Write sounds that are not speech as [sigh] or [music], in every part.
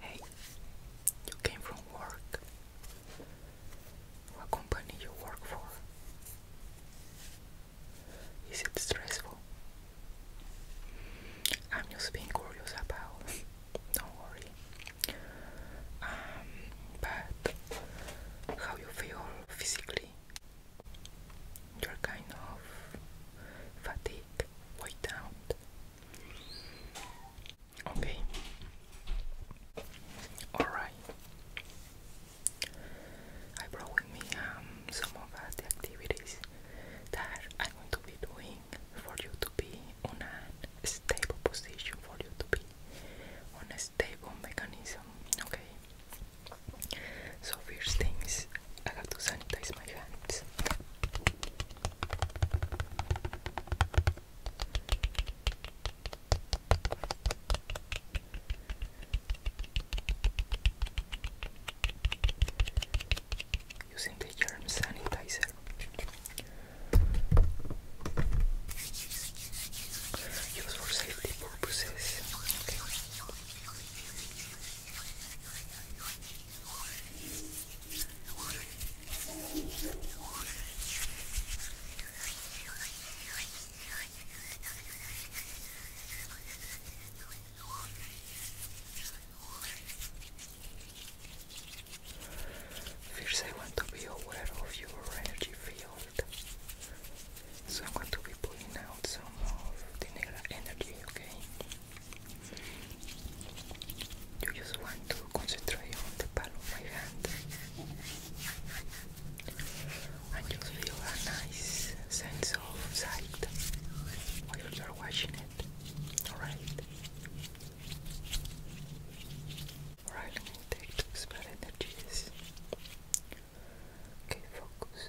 Hey, you came from work. What company you work for? Is it stressful? I'm just being curious about. [laughs] Don't worry. Um, but how you feel physically? you're kind of fatigued, wiped out. Okay. Alright. I brought with me um, some of the activities that I'm going to be doing for you to be on a stable position, for you to be on a stable mechanism. Okay. So first thing is I have to sanitize my hands. Using the germ sanitizer. Use for safety purposes. First, I want to be aware of your energy field. So I'm going to be pulling out some of the negative energy, okay? You just want to concentrate on the palm of my hand and just feel a nice sense of sight while you're watching it. Alright? Alright, let me energies. Okay, focus.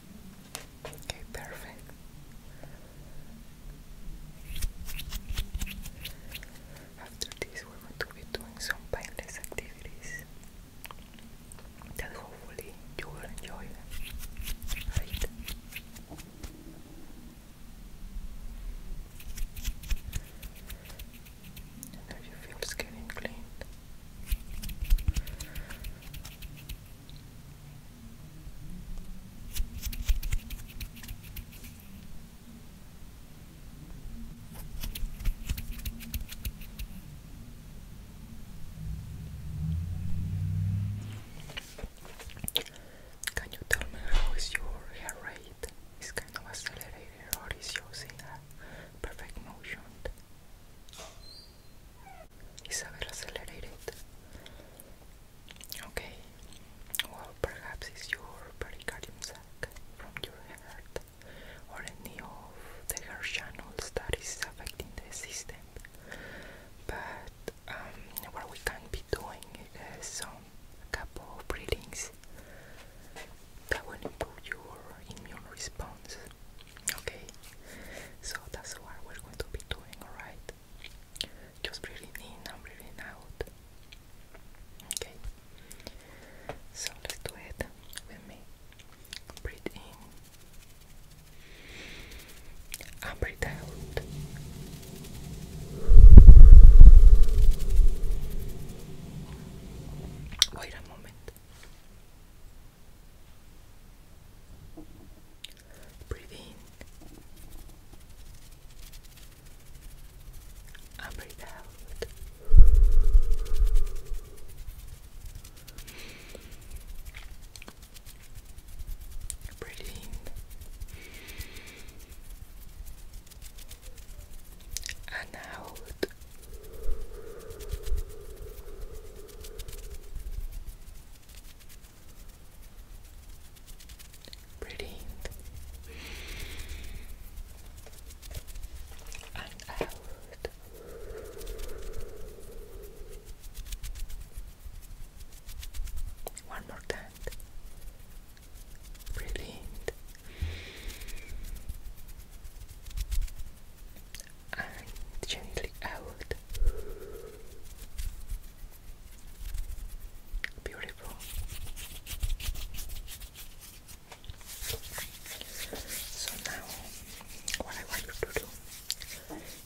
Okay, perfect. After this, we're going to be doing some painless activities that hopefully you will enjoy Right? And now your feels getting cleaned. Can you tell me how is your hair rate? Is kind of accelerated or is using a perfect motion? Isabel accelerated. Okay, well, perhaps it's your pericardium sac from your heart or any of the hair channels that is affecting the system. But um, what we can be doing is some couple of breathings that will improve your immune response Okay, so that's what we're going to be doing, alright? Just breathing in and breathing out. Okay, so let's do it with me. Breathe in and breathing out. Wait a moment. Breathe in and breathe out. Breathe in and out. Breathe. And out. One more time. Breathe and gently out. Beautiful. So now, what I want you to do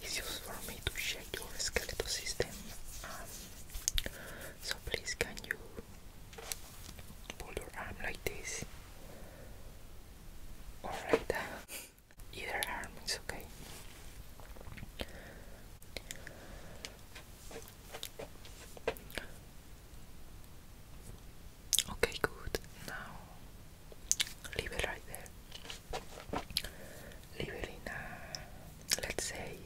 is just for me to check your skeletal system. Um, so please, can you pull your arm like this? Alright. Uh, Either arm is okay. Okay, good. Now leave it right there. Leave it in, uh, let's say,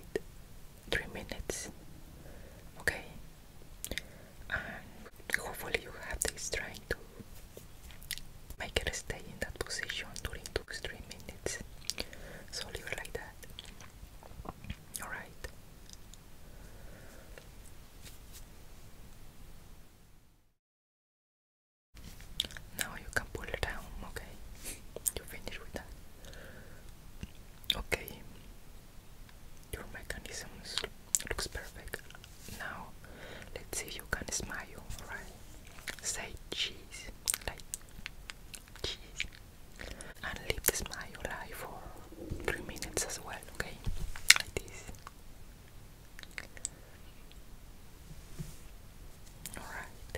three minutes. Okay, and hopefully you have this dry trying to make it stay in that position during 2 3 minutes. So leave it like that. Alright. Now you can pull it down, okay? You finish with that. Okay. Your mechanisms looks perfect. Now, let's see if you can smile, alright? Say cheese, like cheese, and leave the smile alive for three minutes as well, okay? Like this. Alright.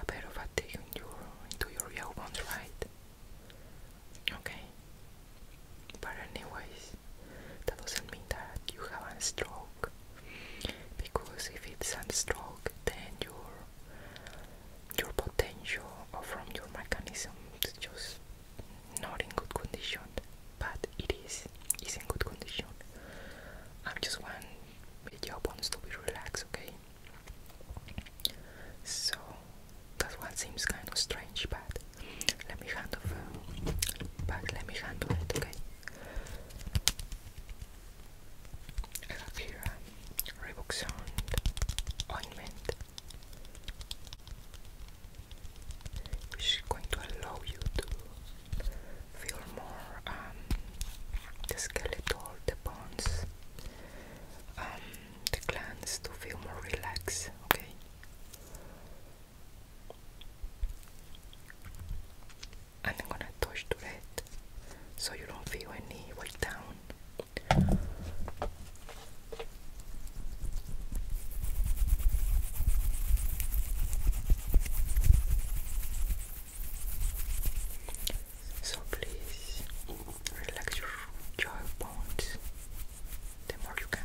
A bit of fatigue in your, into your elbows, right? Okay, but anyways, that doesn't mean that you have a stroke. Because if it's a stroke, then your your potential or from your mechanism is just not in good condition. But it is is in good condition. I am just want your bones to be relaxed, okay? So that one seems kind of strange, but let me handle it Let me handle it, okay? I have here a ointment which is going to allow you to feel more um, the skeletal, the bones, um, the glands to feel more relaxed, okay? and I'm gonna touch to it so you don't feel any weight down. So please relax your jaw bones the more you can.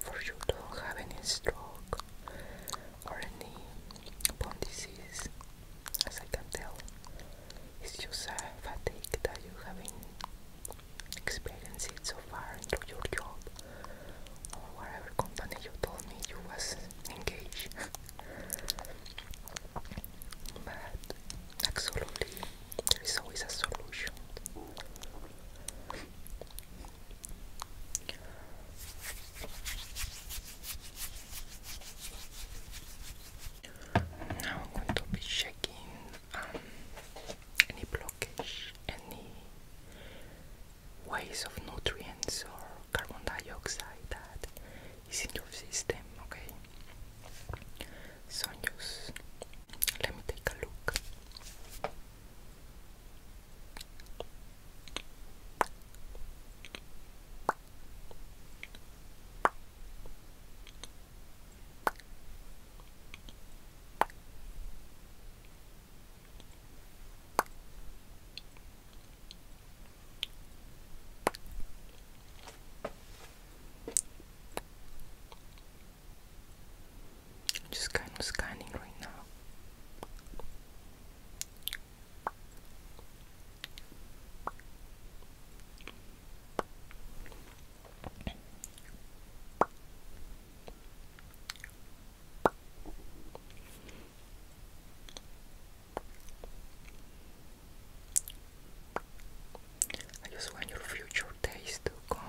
For you don't have any stroke or any bone disease, as I can tell, it's just a fatigue that you're having experience it so far through your job or whatever company you told me you was engaged. [laughs] but absolutely, there is always a solution. Now I'm going to be checking um, any blockage, any waste of nutrients or carbon dioxide that is in your system, okay? So just let me take a look just kind of scanning right now. I just want your future days to come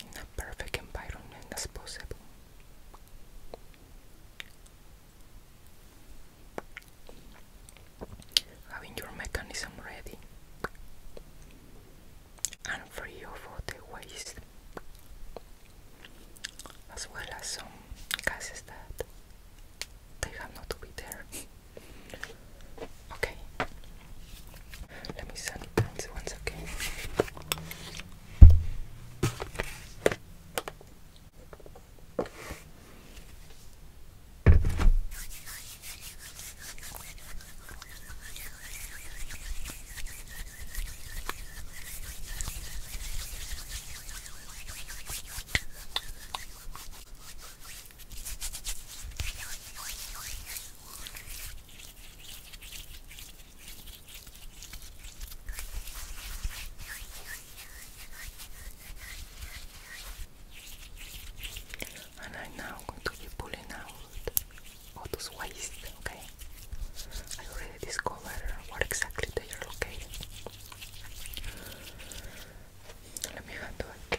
in a perfect environment as possible. Having your mechanism ready and free of all the waste, as well as some cases that they have not been there. Okay, let me sanitize once again. And I'm now going to be pulling out called Otus Waste, okay? I already discovered where exactly they are located. Let me handle it.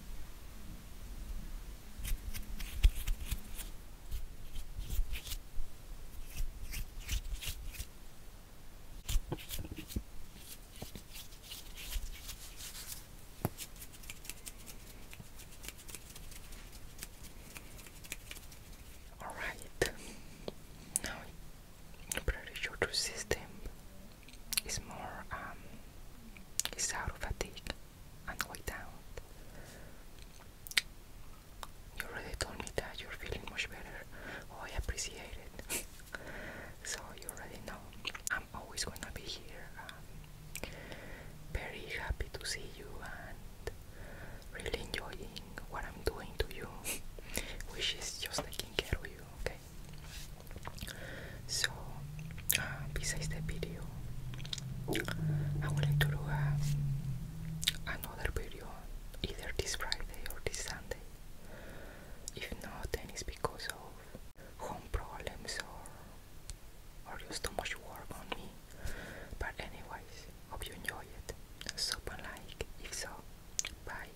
All right, now pressure to system it's more um, it's out of fatigue and weighed down. You already told me that you're feeling much better. Oh, I appreciate it. [laughs] so you already know I'm always gonna be here. Um, very happy to see you and really enjoying what I'm doing to you, [laughs] which is just taking care of you. Okay. So, besides ah, the video, I would like to do uh, another video either this Friday or this Sunday. If not, then it's because of home problems or, or just too much work on me. But, anyways, hope you enjoy it. Sub and like if so. Bye.